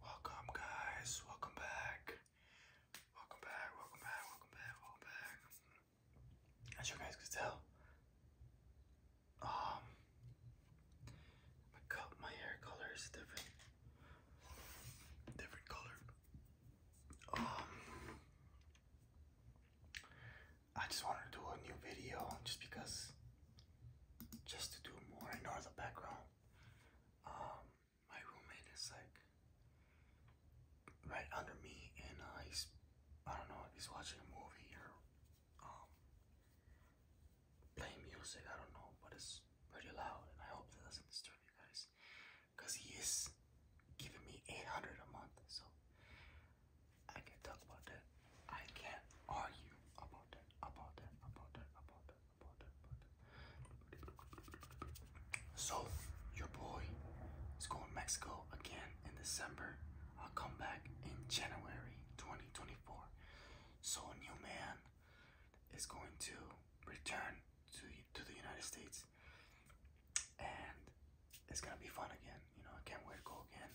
Welcome guys, welcome back. Welcome back, welcome back, welcome back, welcome back. As you guys can tell, um my cup my hair color is different. Different color. Um I just wanted to do a new video just because just to do more I know the background. Um, my roommate is like right under me, and uh, I don't know if he's watching a movie or um, playing music. I don't know, but it's pretty loud, and I hope that doesn't disturb you guys, cause he is giving me 800 a month, so I can talk about that. I can't argue about that, about that, about that, about that, about that, about that. So, your boy is going to Mexico again in December. I'll come back in January 2024. So, a new man is going to return to, to the United States and it's gonna be fun again. You know, I can't wait to go again.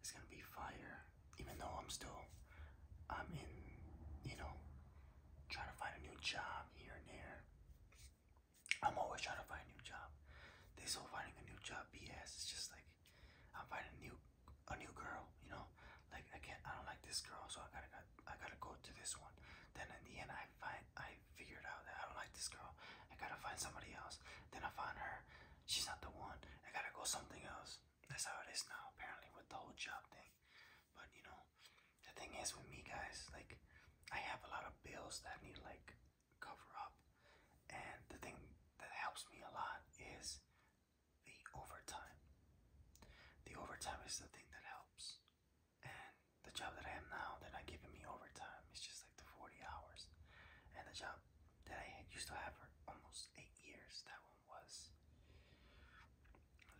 It's gonna be fire, even though I'm still, I'm in, you know, trying to find a new job here and there. I'm always trying to find a new job. This still finding a new job BS. It's just like I'm finding a new, a new girl. You know, like again, I don't like this girl, so I gotta, I gotta go to this one. Then in the end, I find, I figured out that I don't like this girl. I gotta find somebody else. Then I find her. She's not the one. I gotta go something else. That's how it is now, apparently, with the whole job thing. But you know, the thing is with me, guys, like, I have a lot of bills that need like, cover up. And the thing that helps me a lot is the overtime. The overtime is the thing that helps. And the job that I have now, they're not giving me overtime. It's just like the 40 hours. And the job that I used to have for almost eight years, that one was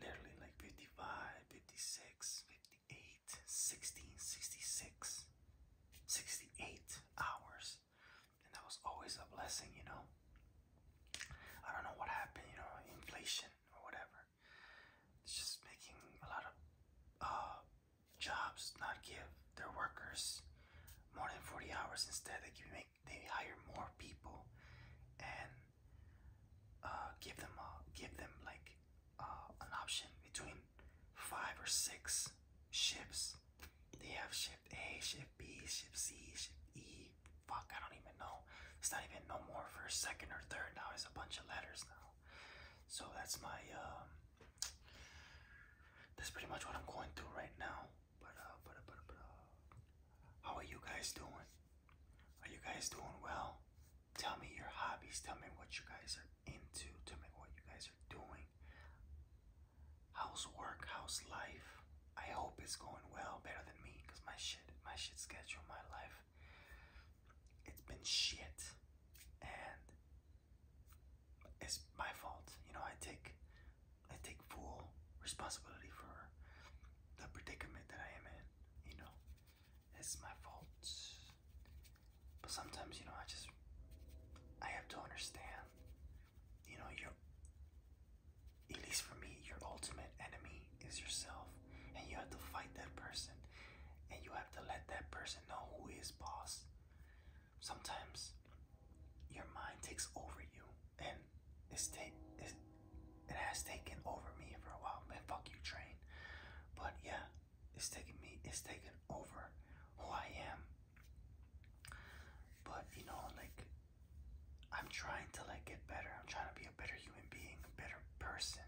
literally like 55, hours. And that was always a blessing, you know. I don't know what happened, you know, inflation or whatever. It's just making a lot of uh, jobs not give their workers more than 40 hours. Instead, they give you they hire more people and uh, give them a, give them like uh, an option between five or six ships. They have shift A, shift B, shift C, shift E. Fuck, I don't even know. It's not even no more for a second or third now. It's a bunch of letters now. So that's my. Um, that's pretty much what I'm going through right now. Uh, but uh, but, uh, but, uh, how are you guys doing? Are you guys doing well? Tell me your hobbies. Tell me what you guys are into. Tell me what you guys are doing. How's work? How's life? I hope it's going well, better than me, cause my shit, my shit schedule, my life, it's been shit, and it's my fault. You know, I take I take full responsibility for the predicament that I am in. You know, it's my fault. But sometimes, you know, I just I have to understand. You know, your at least for me, your ultimate enemy is yourself, and you have to fight that person, and you have to let that person know who is boss. Sometimes your mind takes over you, and it's take it's, it has taken over me for a while. Man, fuck you, train. But yeah, it's taking me. It's taken over who I am. But you know, like I'm trying to like get better. I'm trying to be a better human being, a better person,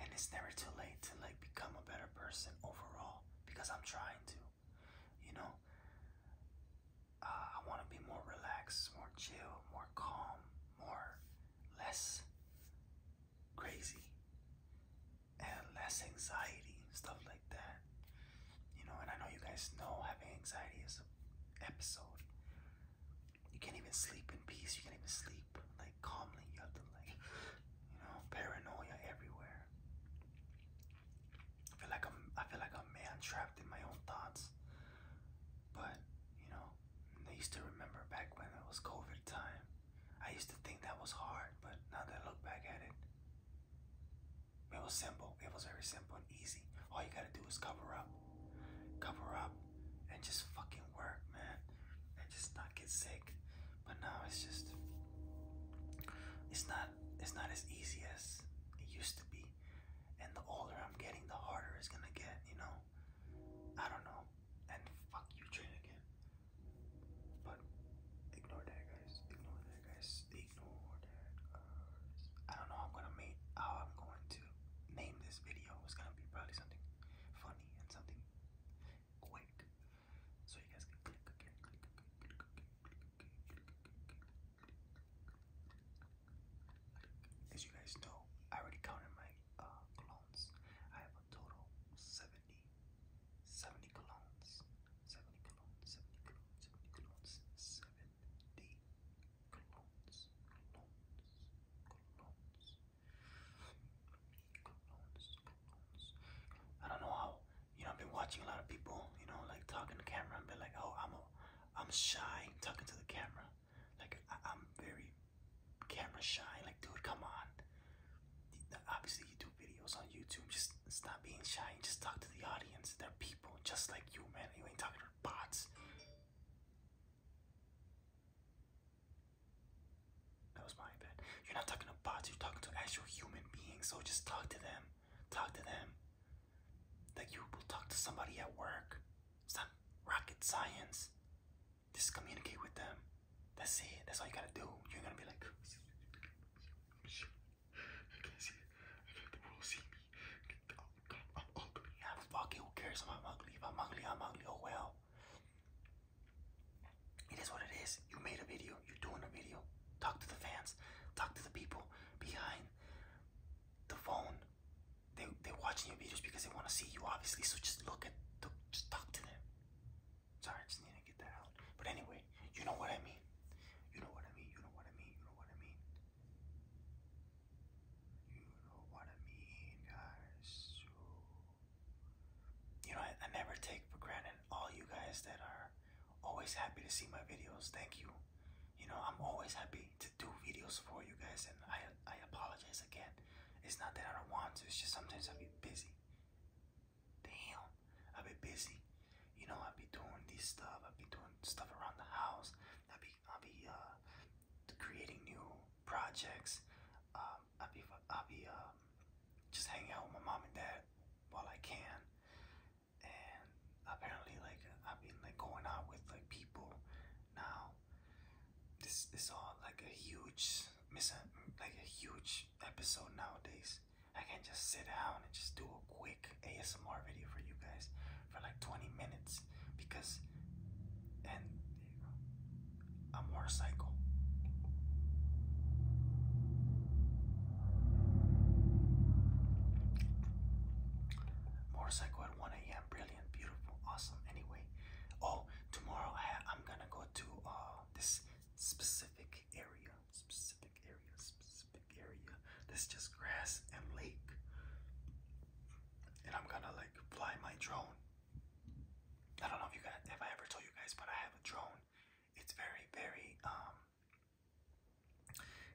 and it's never too late to like become a better person overall because I'm trying to. You know, uh, I want to be more relaxed, more chill, more calm, more less crazy, and less anxiety, stuff like that. You know, and I know you guys know having anxiety is an episode. You can't even sleep in peace. You can't even sleep like calmly. You have to like, you know, paranoia everywhere. I feel like I'm I feel like a man trapped in my own thoughts. But, you know, I used to remember back when it was COVID time. I used to think that was hard, but now that I look back at it, it was simple. It was very simple and easy. All you gotta do is cover up. Cover up and just fucking work, man. And just not get sick. But now it's just it's not it's not as easy as it used to be. And the older I'm getting, the harder it's gonna get, you know? I don't know. And fuck you, train again. But ignore that, guys. Ignore that, guys. Ignore that, I don't know how I'm gonna make, how I'm going to name this video. It's gonna be probably something funny and something quick. So you guys can click, click, click, click, click, click, click, click, as you guys know, I already counted my uh, clones. I have a total 70, clones, 70 clones, 70 clones, 70 clones, 70 clones. I don't know how you know, I've been watching a lot of people, you know, like talking to camera and be like, oh, I'm a, I'm shy talking to the camera. Like, I, am very camera shy. Like, dude, come on. Obviously, you do videos on YouTube. Just stop being shy and just talk to the audience. They're people just like you, man. You ain't talking to bots. That was my bad. You're not talking to bots. You're talking to actual human beings. So just talk to them. Talk to them that you will talk to somebody at work. It's not rocket science. Just communicate with them. That's it. That's all you gotta do. You're gonna be like, I can't see it. I can't the world see me. I'm ugly. Yeah, fuck it. Who cares if I'm ugly? If I'm ugly, I'm ugly. Oh well. It is what it is. You made a video. You're doing a video. Talk to the fans. Talk to the people behind the phone. They they're watching your videos because they want to see you, obviously. So just look at, just talk to them. Sorry, just need to get that out. But anyway, you know what I mean. You know what I mean. You know what I mean. You know what I mean. You know what I mean, guys. So, you know, I, I never take for granted all you guys that are always happy to see my videos. Thank you you know, I'm always happy to do videos for you guys, and I I apologize again. It's not that I don't want to. It's just sometimes I be busy. Damn, I be busy. You know, I be doing this stuff. I be doing stuff around the house. I be I be uh, creating new projects. Um, I be I be um, just hanging out with my mom and dad while I can and apparently like I've been like going out with like people now. This is all like a huge miss like a huge episode nowadays. I can just sit down and just do a quick ASMR video for you guys for like 20 minutes because and I'm Motorcycle at 1 a.m. Brilliant, beautiful, awesome. Anyway, oh, tomorrow I, am gonna go to uh, this specific area, specific area, specific area. That's just grass and lake. And I'm gonna like fly my drone. I don't know if you guys, if I ever told you guys, but I have a drone. It's very, very um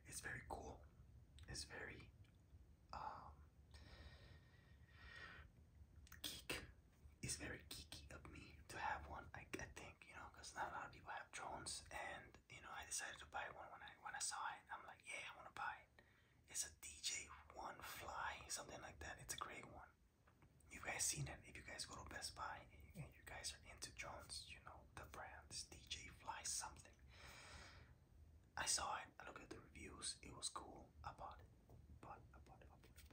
it's very cool. It's very um, geek. It's very geeky of me to have one. I, I think you know, because not a lot of people have drones, and you know, I decided to buy one when I when I saw it. I'm like, yeah, I want to buy it. It's a DJ One Fly, something like that. It's a great one. You guys seen it? If you guys go to Best Buy, you guys are into Jones, you know, the brand DJ Fly something. I saw it, I looked at the reviews, it was cool, I bought it. bought it, bought it, bought it, bought it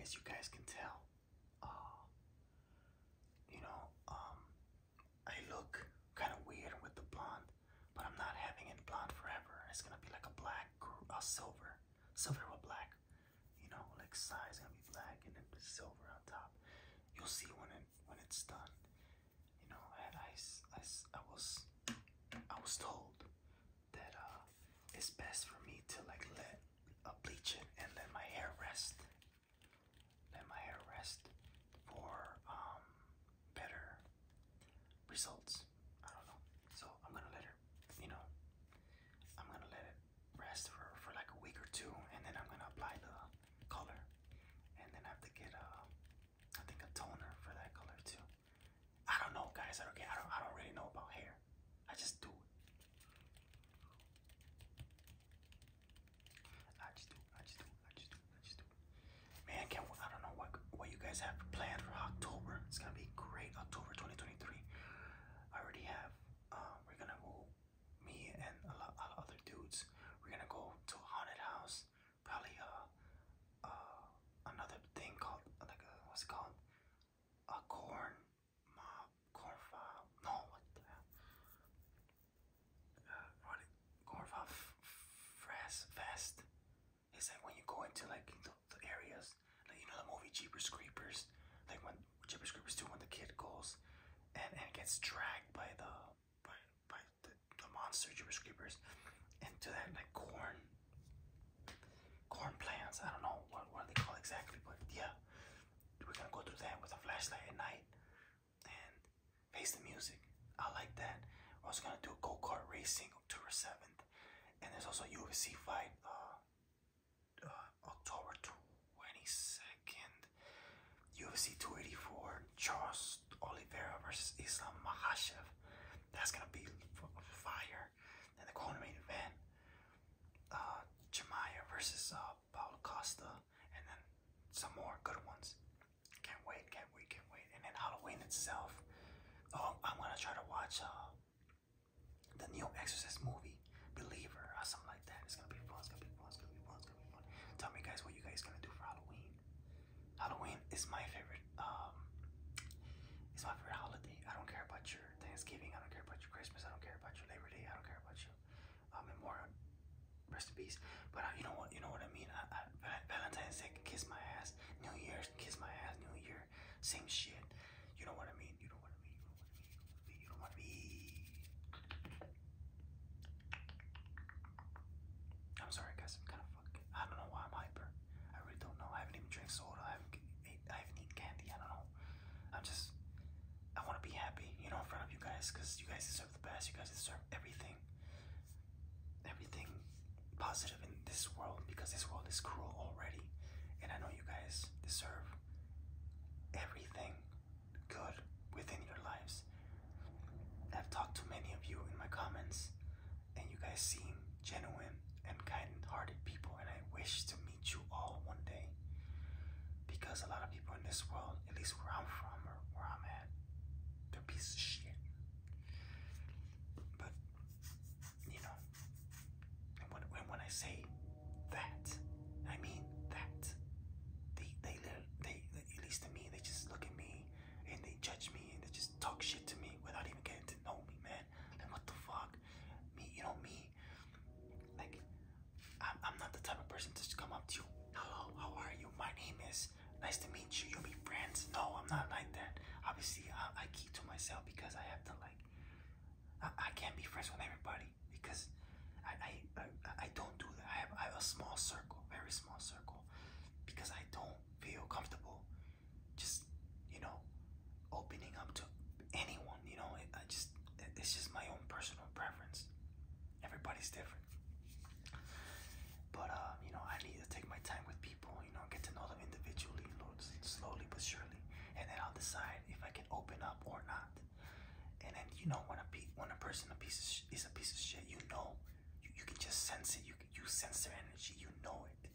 as you guys can tell, uh, you know, um, I look kind of weird with the blonde, but I'm not having it blonde forever. It's gonna be like a black, a silver, silver with black. You know, like side's gonna be black and then silver on top. You'll see when it when it's done. You know, I, I, I was I was told that uh, it's best for me to like let uh, bleach it and let my hair rest. Let my hair rest for um, better results. I don't know. So I'm gonna let her, you know, I'm gonna let it rest for, for like a week or two and then I'm gonna apply the color. And then have to get a, uh, I think a toner for that color too. I don't know, guys. I don't care. I don't. I don't really know about hair. I just do it. I just do. I just do. I just do. Man, can I don't know what what you guys have planned for October. It's gonna be great. October 2023. I already have. Uh, we're gonna go. Me and a lot, a lot of other dudes. We're gonna go to a haunted house. Probably uh, uh, another thing called like uh, what's called? a corn mob, corn fob, no, what the hell? Uh, what it, corn fob It's like when you go into like the, the areas, like you know the movie Jeepers Creepers, like when Jeepers Creepers 2 when the kid goes and, and gets dragged by the by, by the, the monster Jeepers Creepers into that like corn corn plants. I don't know what, what they call exactly, but yeah, we're gonna go through that with a flashlight at night and face the music. I like that. We're also gonna do a go kart racing October 7th, and there's also a UFC fight uh, uh, October 22nd, UFC 284, Charles Oliveira versus Islam Makhachev. That's gonna be fire. And the quarter main event. Uh, Jemaya versus uh, Paul Costa, and then some more good ones. Can't wait, can't wait, can't wait. And then Halloween itself. Oh, I'm gonna try to watch uh, the new Exorcist movie, Believer, or something like that. It's gonna be fun, it's gonna be fun, it's gonna be fun, it's gonna be fun. Tell me, guys, what you guys gonna do for Halloween. Halloween is my favorite favorite um it's my favorite holiday. I don't care about your Thanksgiving, I don't care about your Christmas, I don't care about your Labor Day, I don't care about your um, Memorial rest in peace. But uh, you know what? You know what I mean. I, I, Valentine's Day can kiss my ass. New Year's can kiss my ass. New Year, same shit. You know what I mean. You know what I mean. You know what I mean. You know what I mean. I'm sorry, guys. I'm kind of I don't know why I'm hyper. I really don't know. I haven't even drank soda. I haven't I haven't eaten candy. I don't know. I'm just. I want to be happy, you know, in front of you guys, because you guys deserve the best. You guys deserve everything, everything positive in this world, because this world is cruel already. And I know you guys deserve everything good within your lives. I've talked to many of you in my comments and you guys seem genuine and kind-hearted people and I wish to meet you all one day because a lot of people in this world, at least where I'm from or where I'm at, they're pieces of shit. But you know, and when, I say that, I mean that. they, they, they, at least to me, they just look at me and they judge me and they just talk shit to me without even getting to know me, man. Like what the fuck? Me, you know me. Like I'm, I'm not the type of person to just come up to you. Hello, how are you? My name is. Nice to meet you. You'll be friends. No, I'm not like that. Obviously, I, keep to myself because I have to like. I, I can't be friends with everybody because I I, I, I don't do that. I have, I have a small circle, very small circle, because I don't feel comfortable just you know opening up to anyone you know i just it's just my own personal preference everybody's different but um, you know i need to take my time with people you know get to know them individually slowly but surely and then i'll decide if i can open up or not and then you know when a pe when a person a piece of sh is a piece of shit you know you, you can just sense it you you sense their energy you know it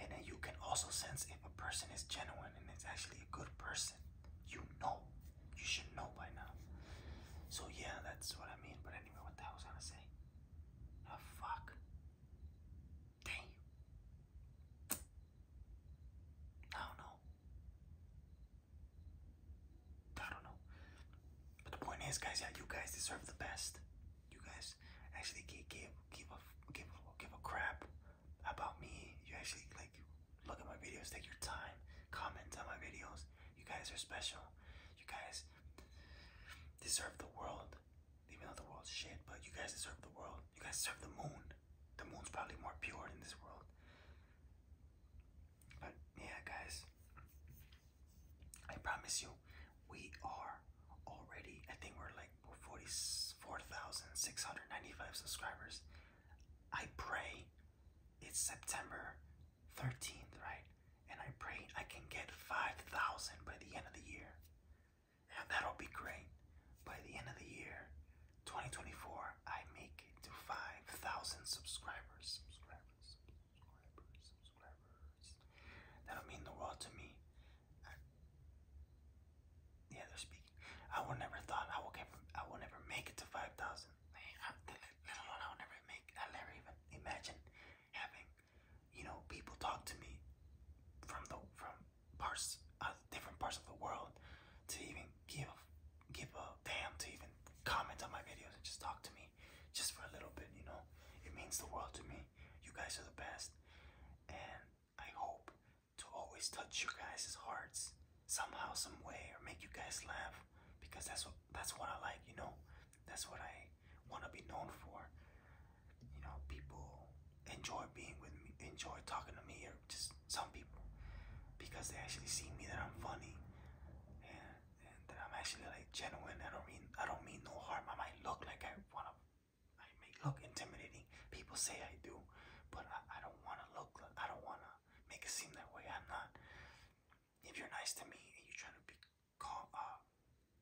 and then you can also sense if a person is genuine and it's actually a good person. You know. You should know by now. So yeah, that's what I mean. But anyway, what the hell was I gonna say? Oh fuck. Damn. I don't know. I don't know. But the point is, guys, yeah, you guys deserve the best you guys actually gave gave give a give give a crap about me. You actually like look at my videos, take your time, comment on my videos. You guys are special. You guys deserve the world. Even though the world's shit, but you guys deserve the world. You guys serve the moon. The moon's probably more pure than this world. But yeah, guys, I promise you, we are already, I think we're like 44,695 subscribers. I pray it's September 13th, right? And I pray I can get 5,000 by the end of the year. And that'll be great. By the end of the year, 2024, I make it to 5,000 subscribers. Subscribers, subscribers, subscribers. That'll mean the world to me. I, yeah, they're speaking. I would never thought I would get, I would never make it to five thousand. Let alone I would never make. I never even imagine having, you know, people talk to me from the from parts, uh, different parts of the world, to even give give a damn, to even comment on my videos and just talk to me, just for a little bit. You know, it means the world to me. You guys are the best. And I hope to always touch your guys' hearts somehow, some way, or make you guys laugh. Because that's what that's what I like, you know? That's what I wanna be known for. You know, people enjoy being with me, enjoy talking to me, or just some people. Because they actually see me that I'm funny. And, that I'm actually like genuine. I don't mean I don't mean no harm. I might look like I wanna I may look intimidating. People say I do, but I, don't want to look. I don't want to make it seem that way. I'm not. If you're nice to me and you're trying to be uh,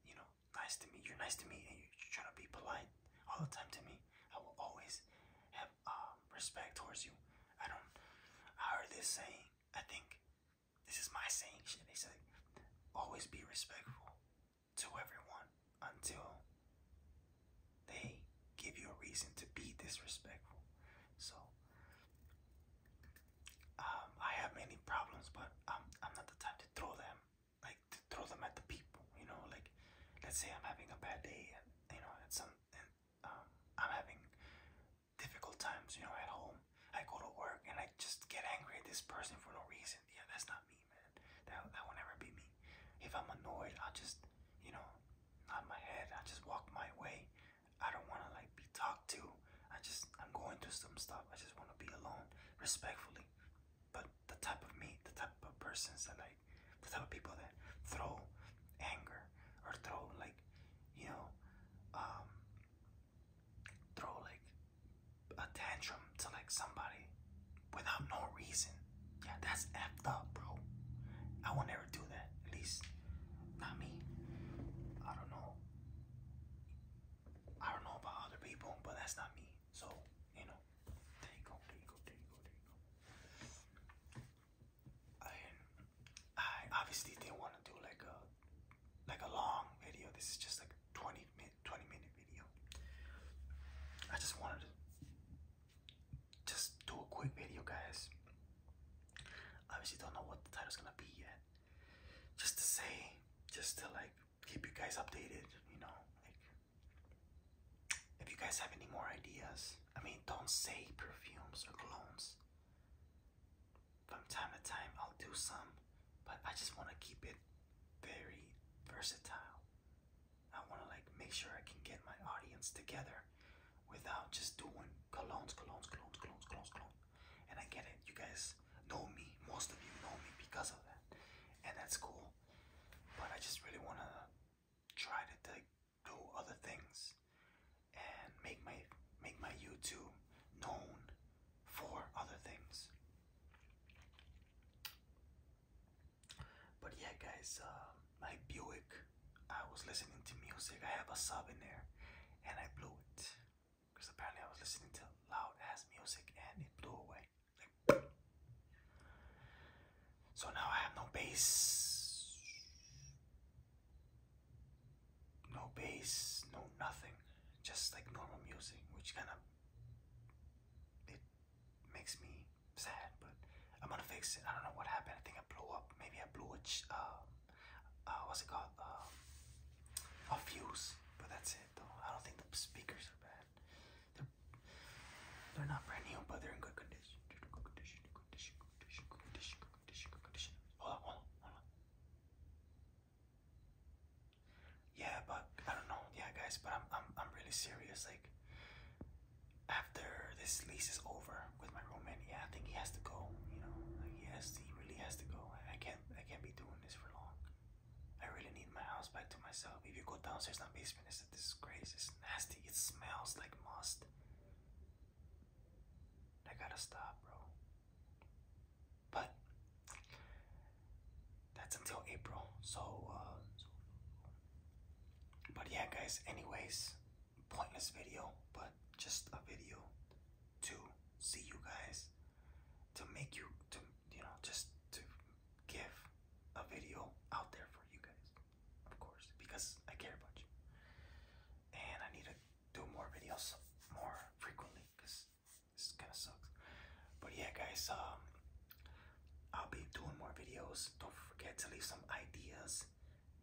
you know, nice to me, you're nice to me and you're trying to be polite all the time to me. I will always have um, respect towards you. I don't. I heard this saying. I think this is my saying. Shit, they said, always be respectful to everyone until they give you a reason to be disrespectful. So um, I have many problems, but I'm, I'm not the type to throw them, like to throw them at the people. You know, like let's say I'm having a bad day, you know, and some, um, I'm having difficult times. You know, at home, I go to work and I just get angry at this person for no reason. Yeah, that's not me man. That that will never be me. If I'm annoyed, I'll just, you know, nod my head. I just walk my way. I don't want to like be talked to. I just I'm going through some stuff. I just want to be alone, respectfully. But the type of me, the type of persons that like, the type of people that throw anger or throw like, you know, um, throw like a tantrum to like somebody without no reason. Yeah, that's effed up, bro. I will never do that. At least not me. I don't know. I don't know about other people, but that's not me. So, you know, there you go, there you go, there you go, there you go. I, I obviously didn't want to do like a like a long video. This is just like 20 20 minute, video. I just wanted to just do a quick video, guys. Obviously, don't know what the title's gonna be yet. Just to say, just to like keep you guys updated, you know. Like, if you guys have any more ideas, I mean, don't say perfumes or colognes. From time to time, I'll do some but I just want to keep it very versatile. I want to like make sure I can get my audience together without just doing colognes, colognes, colognes, colognes, colognes, colognes. And I get it. You guys know me. Most of you know me because of that, and that's cool. But I just really want to try to like, do other things and make my make my YouTube known for other things. But yeah, guys, my um, Buick, I was listening to music. I have a sub in there, and I blew it because apparently I was listening to loud ass music and it blew away. so now I have no bass, no bass, no nothing, just like normal music, which kind of it makes me sad, but I'm gonna fix it. I don't know what happened. I think I blew up. Maybe I blew a uh, uh, what's it called? Um, a fuse. But that's it, though. I don't think the speakers are bad. They're they're not brand new, but they're in good condition. Good condition. Good condition. Good condition. Good condition. Good condition. Good condition. Hold on. Hold on. Hold on. Yeah, but I don't know. Yeah, guys, but I'm I'm I'm really serious. Like after this lease is over with my roommate, yeah, I think he has to go. You know, he has to. He really has to go. I, can't. I can't be doing this for long. I really need my house back to myself. If you go downstairs in basement, is a disgrace. It's nasty. It smells like must. I gotta stop, bro. But that's until April. So, uh, but yeah, guys, anyways, pointless video, but just a video to see you guys, to make you, to, you know, just to give a video out there for you guys, of course, because I care about you. And I need to do more videos more frequently because this kind of sucks. But yeah, guys, um, I'll be doing more videos. Don't forget to leave some ideas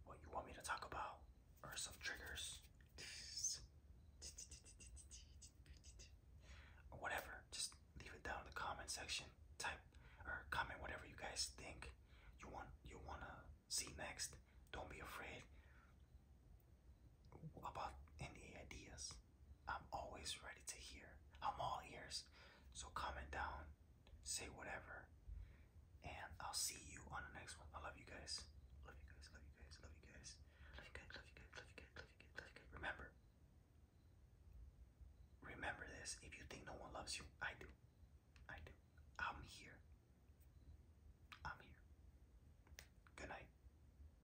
what you want me to talk about or some triggers or whatever. Just leave it down in the comment section. Type or comment whatever you guys think you want you wanna see next. Don't be afraid about any ideas. I'm always ready to hear. I'm all ears. So comment down, say whatever, and I'll see you on the next one. I love you guys. Love you guys. Love you guys. Love you guys. Love you guys. Love you guys. Love you guys. Love you guys. Love you guys. Remember. Remember this. If you think no one loves you, I do. I do. I'm here. I'm here. Good night.